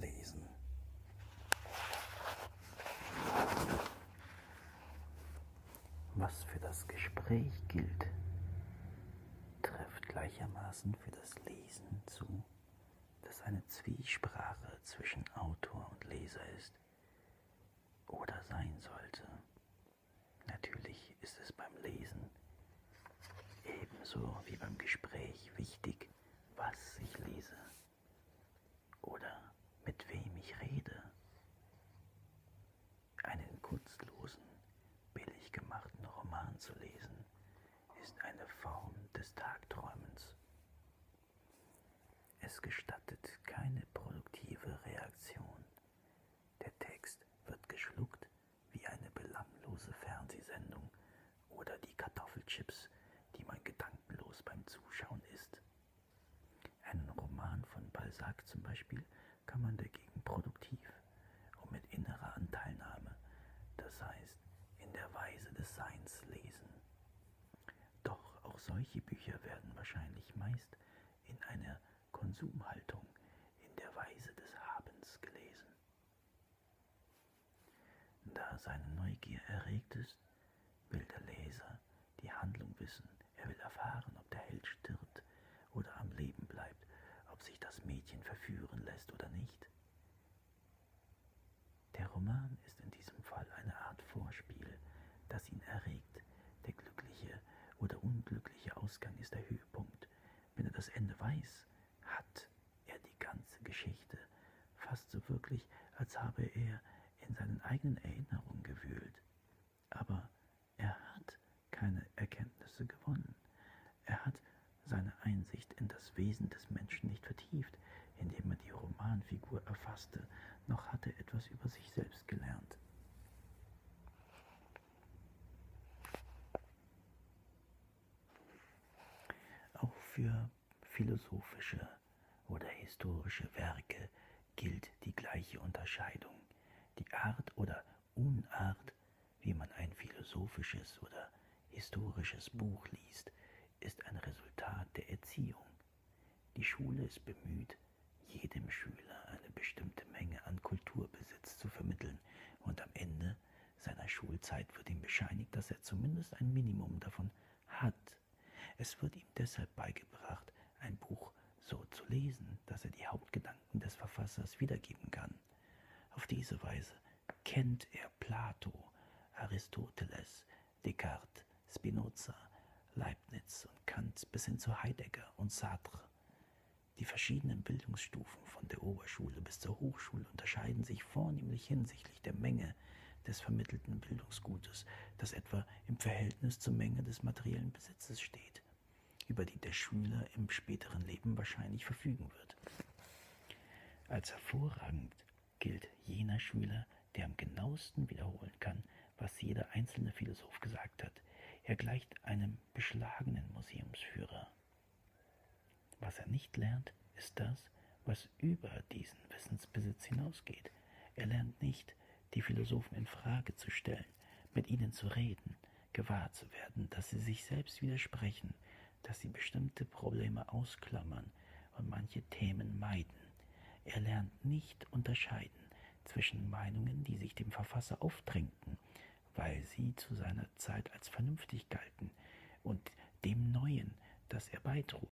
Lesen. Was für das Gespräch gilt, trifft gleichermaßen für das Lesen zu, das eine Zwiesprache zwischen Autor und Leser ist oder sein sollte. Natürlich ist es beim Lesen ebenso wie beim Gespräch wichtig, was ich lese oder mit wem ich rede. Einen kurzlosen, billig gemachten Roman zu lesen, ist eine Form des Tagträumens es gestattet keine produktive Reaktion. Der Text wird geschluckt wie eine belanglose Fernsehsendung oder die Kartoffelchips, die man gedankenlos beim Zuschauen isst. Einen Roman von Balzac zum Beispiel kann man dagegen produktiv und mit innerer Anteilnahme, das heißt in der Weise des Seins lesen. Doch auch solche Bücher werden wahrscheinlich meist in einer Konsumhaltung, in der Weise des Habens gelesen. Da seine Neugier erregt ist, will der Leser die Handlung wissen. Er will erfahren, ob der Held stirbt oder am Leben bleibt, ob sich das Mädchen verführen lässt oder nicht. Der Roman ist in diesem Fall eine Art Vorspiel, das ihn erregt. Der glückliche oder unglückliche Ausgang ist der Höhepunkt. Wenn er das Ende weiß, hat er die ganze Geschichte, fast so wirklich, als habe er in seinen eigenen Erinnerungen gewühlt. Aber er hat keine Erkenntnisse gewonnen. Er hat seine Einsicht in das Wesen des Menschen nicht vertieft, indem er die Romanfigur erfasste, noch hatte er etwas über sich selbst gelernt. Auch für philosophische oder historische Werke gilt die gleiche Unterscheidung. Die Art oder Unart, wie man ein philosophisches oder historisches Buch liest, ist ein Resultat der Erziehung. Die Schule ist bemüht, jedem Schüler eine bestimmte Menge an Kulturbesitz zu vermitteln und am Ende seiner Schulzeit wird ihm bescheinigt, dass er zumindest ein Minimum davon hat. Es wird ihm deshalb beigebracht, ein Buch so zu lesen, dass er die Hauptgedanken des Verfassers wiedergeben kann. Auf diese Weise kennt er Plato, Aristoteles, Descartes, Spinoza, Leibniz und Kant bis hin zu Heidegger und Sartre. Die verschiedenen Bildungsstufen von der Oberschule bis zur Hochschule unterscheiden sich vornehmlich hinsichtlich der Menge des vermittelten Bildungsgutes, das etwa im Verhältnis zur Menge des materiellen Besitzes steht über die der Schüler im späteren Leben wahrscheinlich verfügen wird. Als hervorragend gilt jener Schüler, der am genauesten wiederholen kann, was jeder einzelne Philosoph gesagt hat. Er gleicht einem beschlagenen Museumsführer. Was er nicht lernt, ist das, was über diesen Wissensbesitz hinausgeht. Er lernt nicht, die Philosophen in Frage zu stellen, mit ihnen zu reden, gewahr zu werden, dass sie sich selbst widersprechen, dass sie bestimmte Probleme ausklammern und manche Themen meiden. Er lernt nicht unterscheiden zwischen Meinungen, die sich dem Verfasser aufdrängten, weil sie zu seiner Zeit als vernünftig galten, und dem Neuen, das er beitrug.